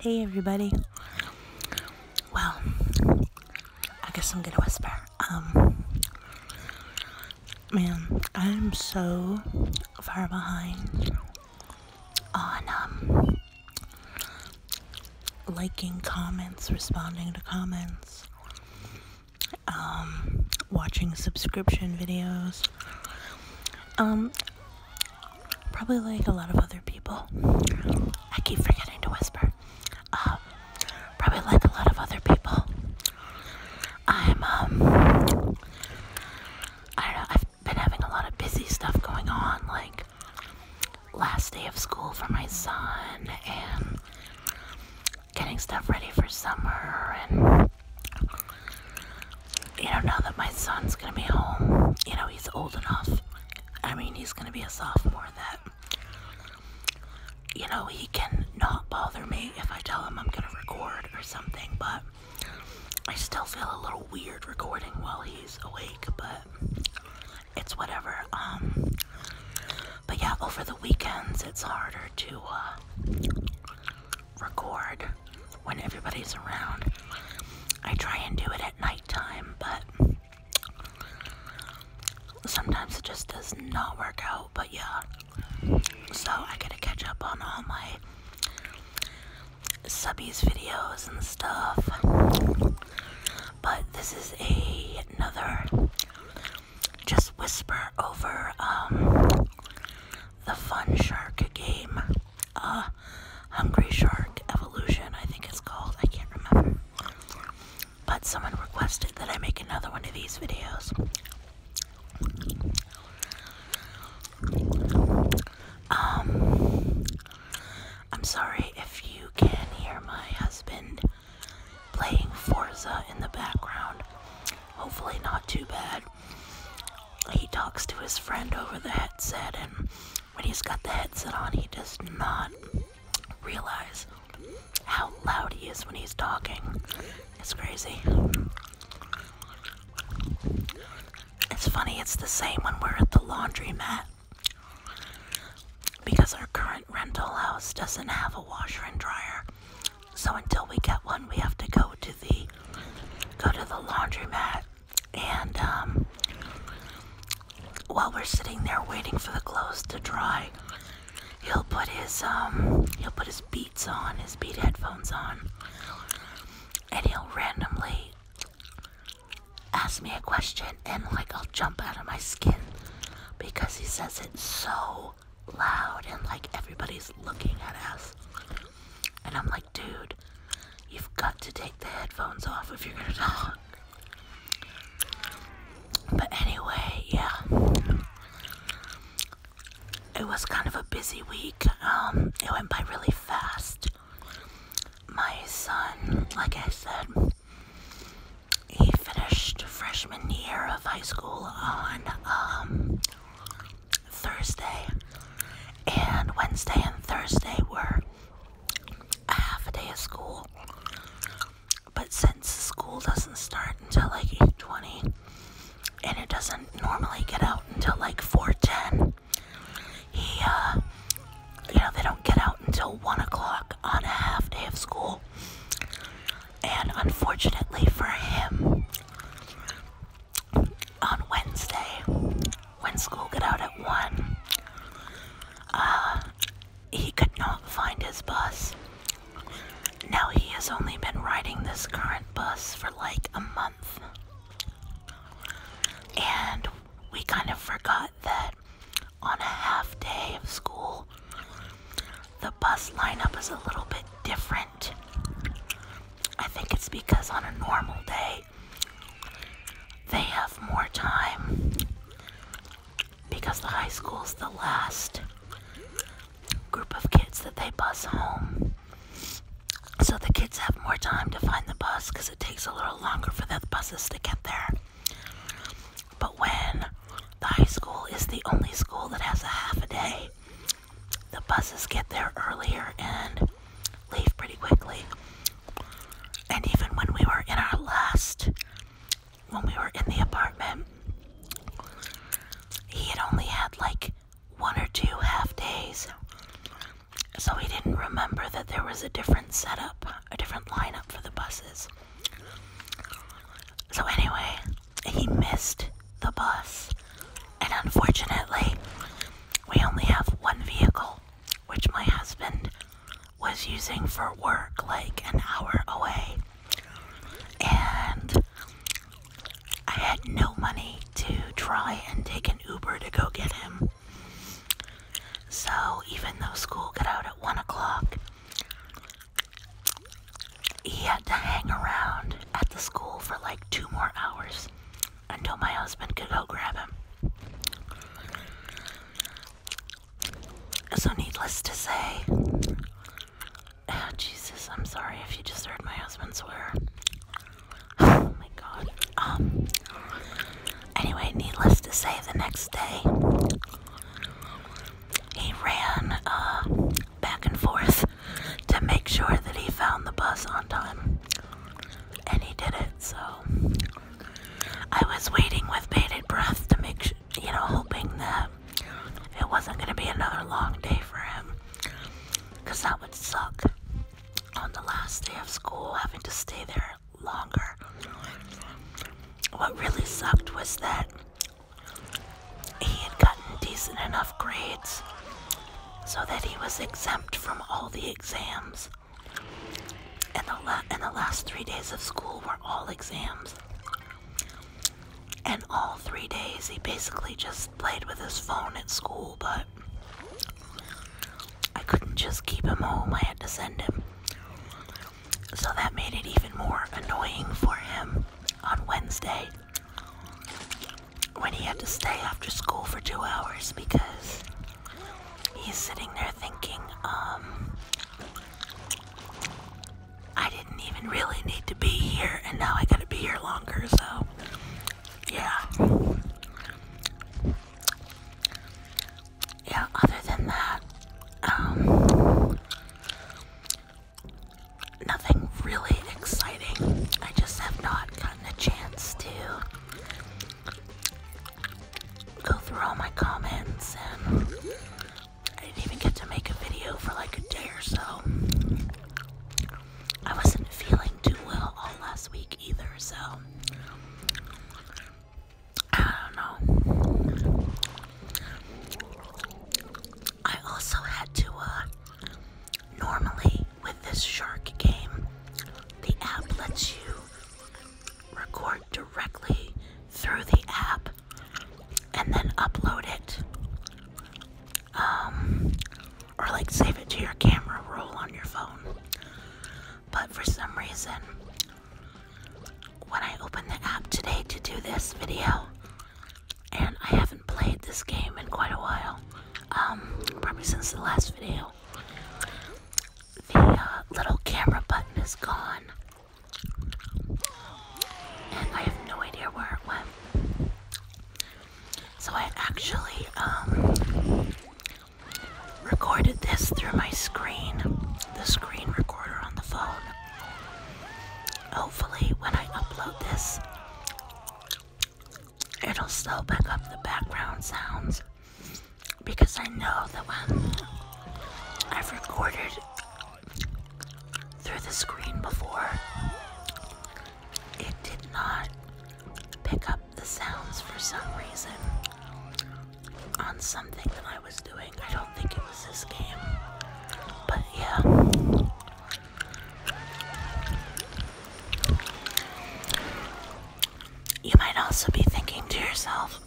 Hey everybody. Well, I guess I'm gonna whisper. Um, man, I'm so far behind on um, liking comments, responding to comments, um, watching subscription videos. Um, Probably like a lot of other people. I keep forgetting to whisper. Um, probably like a lot of other people. I'm, um, I don't know, I've been having a lot of busy stuff going on, like last day of school for my son and getting stuff ready for summer and you know, now that my son's gonna be home, you know, he's old enough. I mean, he's gonna be a sophomore that, you know, he can not bother me if I tell him I'm gonna record or something, but I still feel a little weird recording while he's awake, but it's whatever. Um, but yeah, over the weekends, it's harder to, uh, record when everybody's around. I try and do it at nighttime, but sometimes it just does not work out. But yeah, so I gotta catch up on all my subbies videos and stuff. But this is a, another just whisper over um, the Fun Shark game. Uh, Hungry Shark Evolution, I think it's called. I can't remember. But someone requested that I make another one of these videos. Um, I'm sorry if you can hear my husband playing Forza in the background. Hopefully, not too bad he talks to his friend over the headset, and when he's got the headset on, he does not realize how loud he is when he's talking. It's crazy. It's funny, it's the same when we're at the laundromat. Because our current rental house doesn't have a washer and dryer. So until we get one, we have to go to the go to the laundromat and um, while we're sitting there waiting for the clothes to dry, he'll put his um, he'll put his beats on, his beat headphones on, and he'll randomly ask me a question, and like I'll jump out of my skin because he says it so loud and like everybody's looking at us. And I'm like, dude, you've got to take the headphones off if you're gonna talk. But anyway, yeah. It was kind of a busy week. Um, it went by really fast. My son, like I said, he finished freshman year of high school on um, Thursday and Wednesday and Thursday were a half a day of school. But since school doesn't start until like 8:20 and it doesn't normally get out until like 4:10, he uh you know they don't get out until one o'clock on a half day of school. And unfortunately for him, on Wednesday when school got out at 1. Uh, he could not find his bus. Now he has only been riding this current bus for like a month. And we kind of forgot that on a half day of school, the bus lineup is a little bit different. I think it's because on a normal day, they have more time because the high school is the last group of kids that they bus home. So the kids have more time to find the bus because it takes a little longer for the buses to get there. But when the high school is the only school that has a half a day, the buses get there earlier and leave pretty quickly. And even when we were in our last, when we were in the apartment, he had only had like one or two half days. So he didn't remember that there was a different setup, a different lineup for the buses. So, anyway, he missed the bus. And unfortunately, we only have one vehicle which my husband was using for work like an hour away. And I had no money to try and take an Uber to go get him. So even though school got out at 1 o'clock, he had to hang around at the school for like two more hours until my husband could go grab him. So, needless to say, oh, Jesus, I'm sorry if you just heard my husband swear. Oh my god. Um. Anyway, needless to say, the next day he ran uh, back and forth to make sure that he found the bus on time and he did it. So I was waiting with bated breath to make, sure, you know, hoping that it wasn't going to be another long day for him, because that would suck. On the last day of school, having to stay there longer. What really sucked was that he had gotten decent enough grades so that he was exempt from all the exams. And the, last three days of school were all exams. And all three days, he basically just played with his phone at school, but I couldn't just keep him home. I had to send him. So that made it even more annoying for him on Wednesday when he had to stay after school for two hours because he's sitting there thinking, um, I didn't even really need to be here, and now I gotta be here longer, so yeah. Yeah, other than that, um, nothing really exciting. I just have not gotten a chance to go through all my comments, and I didn't even get to make a video for like a day or so. I wasn't feeling too well all last week either, so I don't know. I also had to, uh, normally with this shark game, the app lets you record directly through the app and then upload it. Um, or like save it to your camera roll on your phone. But for some reason, when I opened the app today to do this video, and I haven't played this game in quite a while, um, probably since the last video, the uh, little camera button is gone. And I have no idea where it went. So I actually um, recorded this through my screen, the screen recorder on the phone. Hopefully, when I upload this, it'll still pick up the background sounds because I know that when I've recorded through the screen before, it did not pick up the sounds for some reason on something that I was doing. I don't think it was this game, but yeah. You might also be thinking to yourself,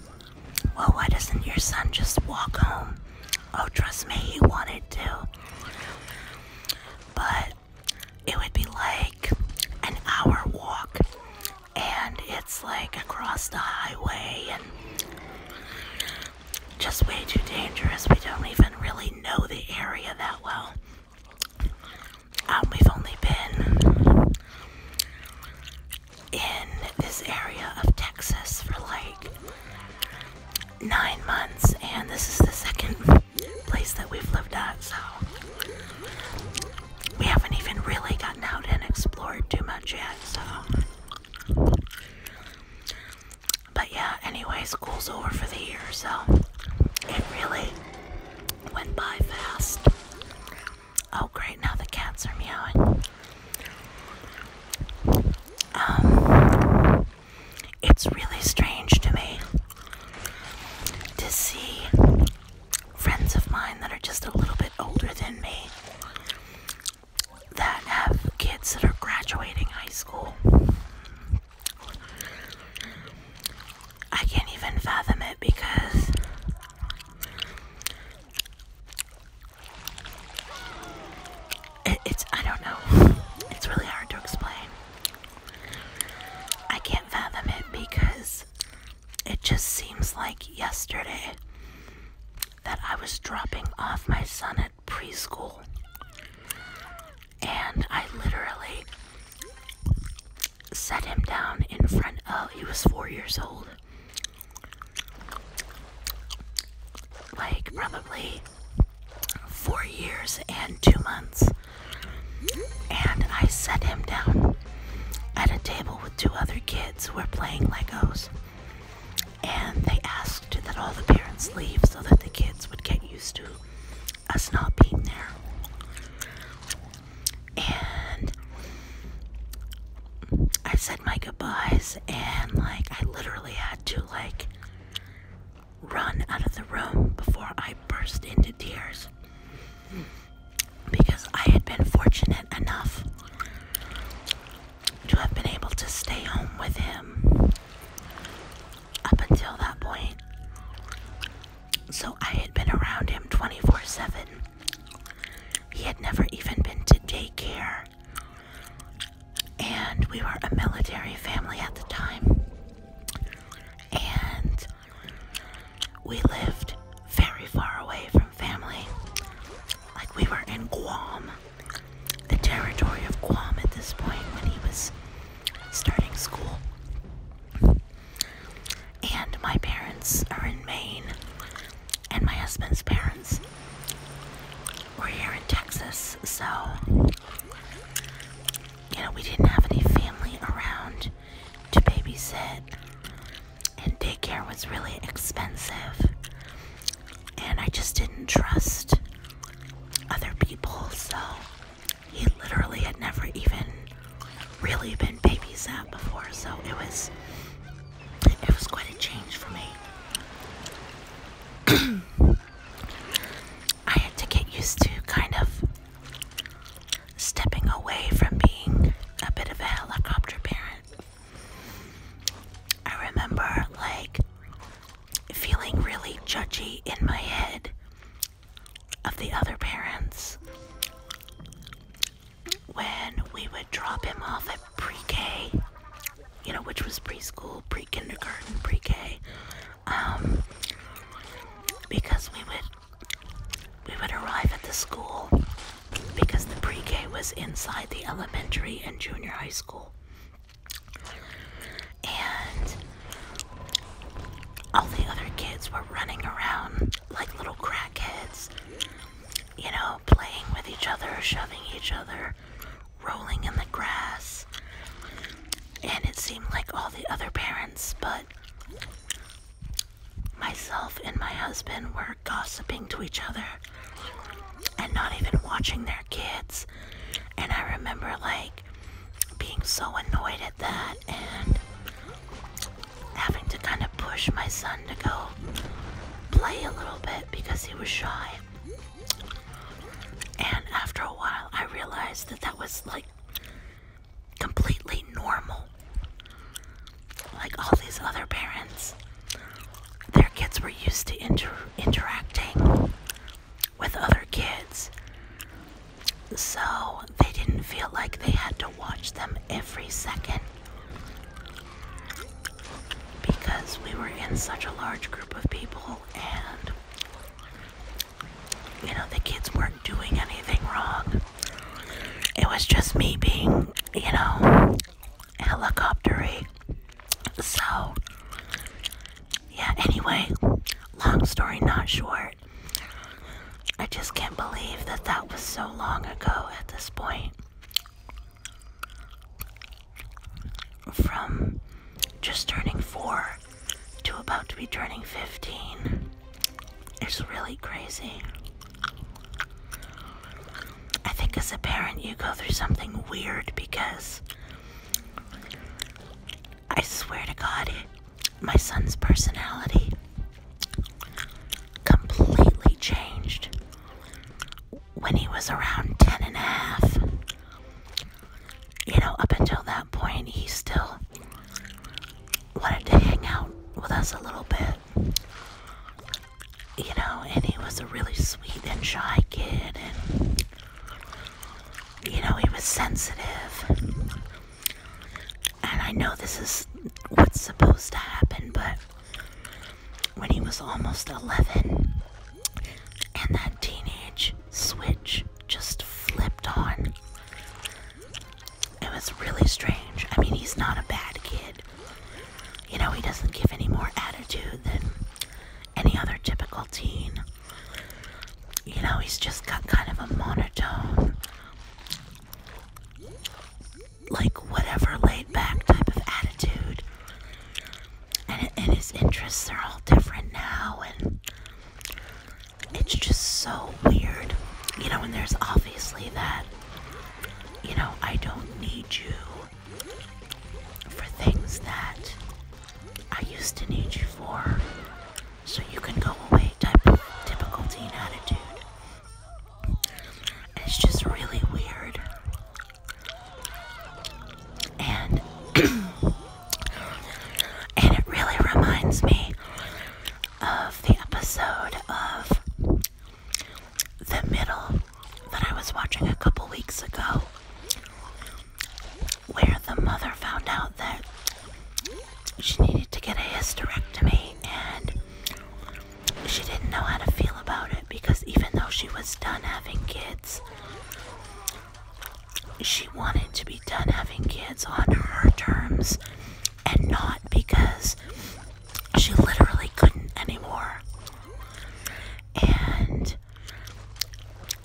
well, why doesn't your son just walk home? Oh, trust me, he wanted to. But it would be like an hour walk, and it's like across the highway, and just way too dangerous. We don't even really know the area that well. Um, we've only been in this area of Texas for like nine months, and this is the second place that we've lived at, so we haven't even really gotten out and explored too much yet, so. But yeah, anyway, school's over for the year, so it really went by fast. Oh, great, now the cats are meowing. Um, it's really strange to me to see friends of mine that are just a little bit older than me that have kids that are graduating high school. I can't even fathom it because it's, I don't know, it's really hard to explain. I can't fathom it because it just seems like yesterday that I was dropping off my son at preschool and I literally set him down in front of he was four years old like probably four years and two months and i set him down at a table with two other kids who were playing legos and they asked that all the parents leave so that the kids would get used to us not being there and I said my goodbyes and like I literally had to like run out of the room before I burst into tears because I had been fortunate enough to have been able to stay home with him up until that point so I had been around him 24 7. He had never even been to daycare. And we were a military family at the time. And we lived very far away from family. Like we were in Guam, the territory of Guam at this point when he was starting school and my parents are in Maine, and my husband's parents were here in Texas, so you know, we didn't have any family around to babysit, and daycare was really expensive, and I just didn't trust other people, so he literally had never even really been babysat before, so it was it was quite a change for me. I had to get used to kind of stepping away from being a bit of a helicopter parent. I remember like feeling really judgy in my head of the other parents when we would drop him off at pre K, you know, which was preschool, pre kindergarten, pre K, um, because we would, we would arrive at the school because the pre K was inside the elementary and junior high school. And all the other kids were running around like little crackheads, you know, playing with each other, shoving each other, rolling in the grass. And it seemed like all the other parents, but myself and my husband were gossiping to each other and not even watching their kids. And I remember like being so annoyed at did that and having to kind of push my son to go play a little bit because he was shy. And after a while, I realized that that was like completely normal. Like all these other parents, their kids were used to interacting with other kids so they didn't feel like they had to watch them every second because we were in such a large group of people and you know the kids weren't doing anything wrong. It was just me being, you know, helicopter helicoptery. So yeah, anyway, long story not short. I just can't believe that that was so long ago at this point. From just turning 4 to about to be turning 15. It's really crazy. I think as a parent, you go through something weird because I swear to God, my son's personality completely changed when he was around ten and a half. You know, up until that point, he still wanted to hang out with us a little bit. You know, and he was a really sweet and shy kid, and you know, he was sensitive. And I know this is what's supposed to happen, but when he was almost 11 and that teenage switch just flipped on, it was really strange. I mean, he's not a bad kid. You know, he doesn't give any more attitude than any other typical teen. You know, he's just got kind of a monotone like whatever laid back type of attitude. And, his interests are all different now, and it's just so weird. You know, and there's obviously that, you know, I don't need you for things that I used to need you for, so you can go away type of typical teen attitude. It's just really weird. And and it really reminds me of the episode of The Middle that I was watching a couple weeks ago where the mother found out that she needed to get a hysterectomy and she didn't know how to feel about it because even though she was done having kids, she wanted to be done having kids on her terms and not because she literally couldn't anymore. And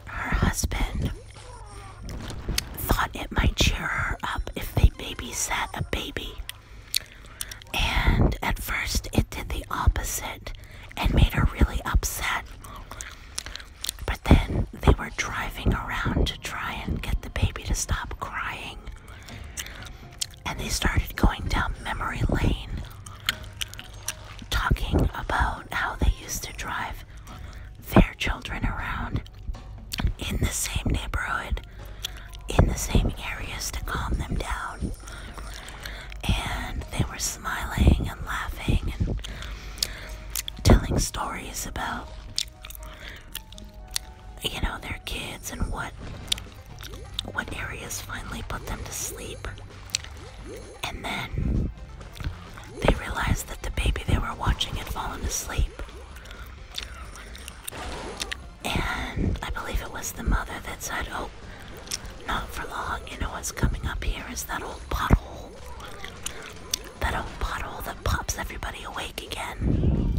her husband thought it might cheer her up if they babysat a baby and at first, it did the opposite and made her really upset. But then they were driving around to try and get the baby to stop crying. And they started going down memory lane, talking about how they used to drive their children around in the same neighborhood, in the same areas to calm them down. And they were smiling and laughing and telling stories about, you know, their kids and what what areas finally put them to sleep. And then they realized that the baby they were watching had fallen asleep. And I believe it was the mother that said, Oh, not for long. You know what's coming up here is that old pothole. That old pothole that pops everybody awake again.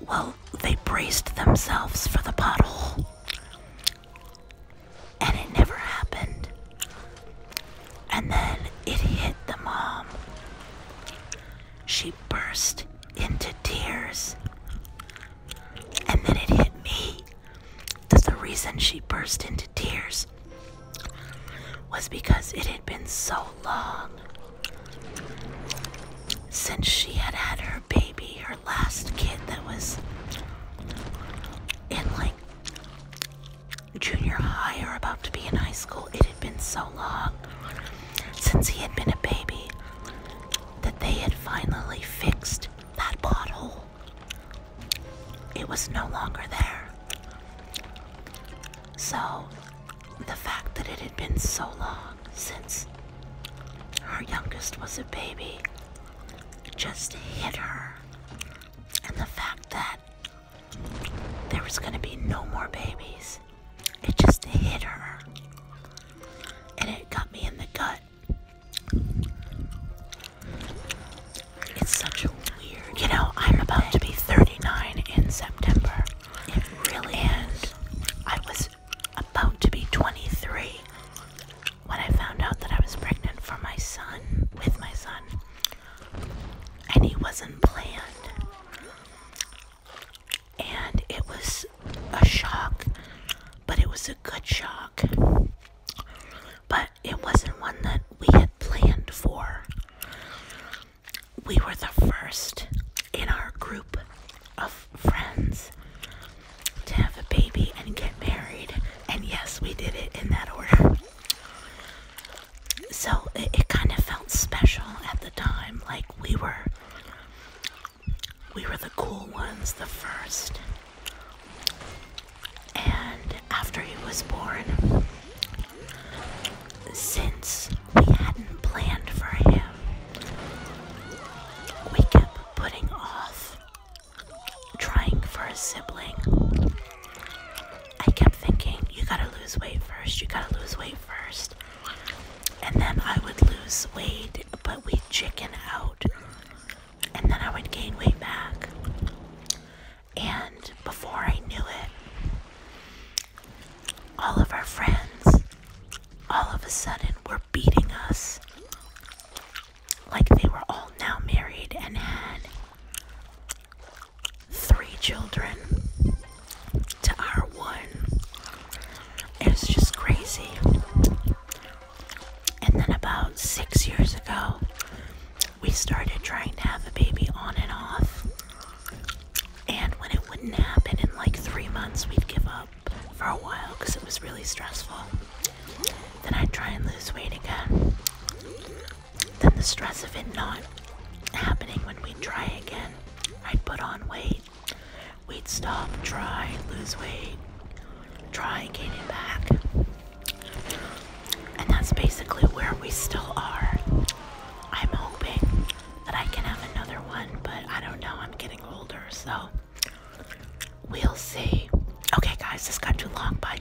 Well, they braced themselves for the pothole. And it never happened. And then it hit the mom she burst into tears. And then it hit me that the reason she burst into tears was because it had been so long since she had had her baby, her last kid that was in like junior high or about to be in high school been so long since he had been a baby that they had finally fixed that pothole. It was no longer there. So, the fact that it had been so long since her youngest was a baby just hit her. And the fact that there was going to be no more babies. It just hit her. And it got me in the gut. It's such a weird. You know, I'm about to be 39 in September. It really is. I was about to be 23 when I found out that I was pregnant for my son, with my son. And he wasn't planned and it was a shock, but it was a good shock. But it wasn't one that we had planned for. We were the first in our group of friends to have a baby and get married, and yes, we did it in that order so it, kind of felt special at the time like we were we were the cool ones the first and after he was born since we hadn't planned for him we kept putting off trying for a sibling i kept thinking you gotta lose weight first you gotta lose weight first and then I would lose weight, but we'd chicken out, and then I would gain weight back. And before I knew it, all of our friends all of a sudden were beating us like they were all now married and had three children to our one. It just crazy. And then about six years ago, we started trying to have a baby on and off. And when it wouldn't happen in like three months, we'd give up for a while because it was really stressful. Then I'd try and lose weight again. Then the stress of it not happening when we try again I'd put on weight. We'd stop, try, lose weight, try, gain it back. And that's basically where we still are. I'm hoping that I can have another one, but I don't know. I'm getting older, so we'll see. Okay, guys, this got too long. Bye.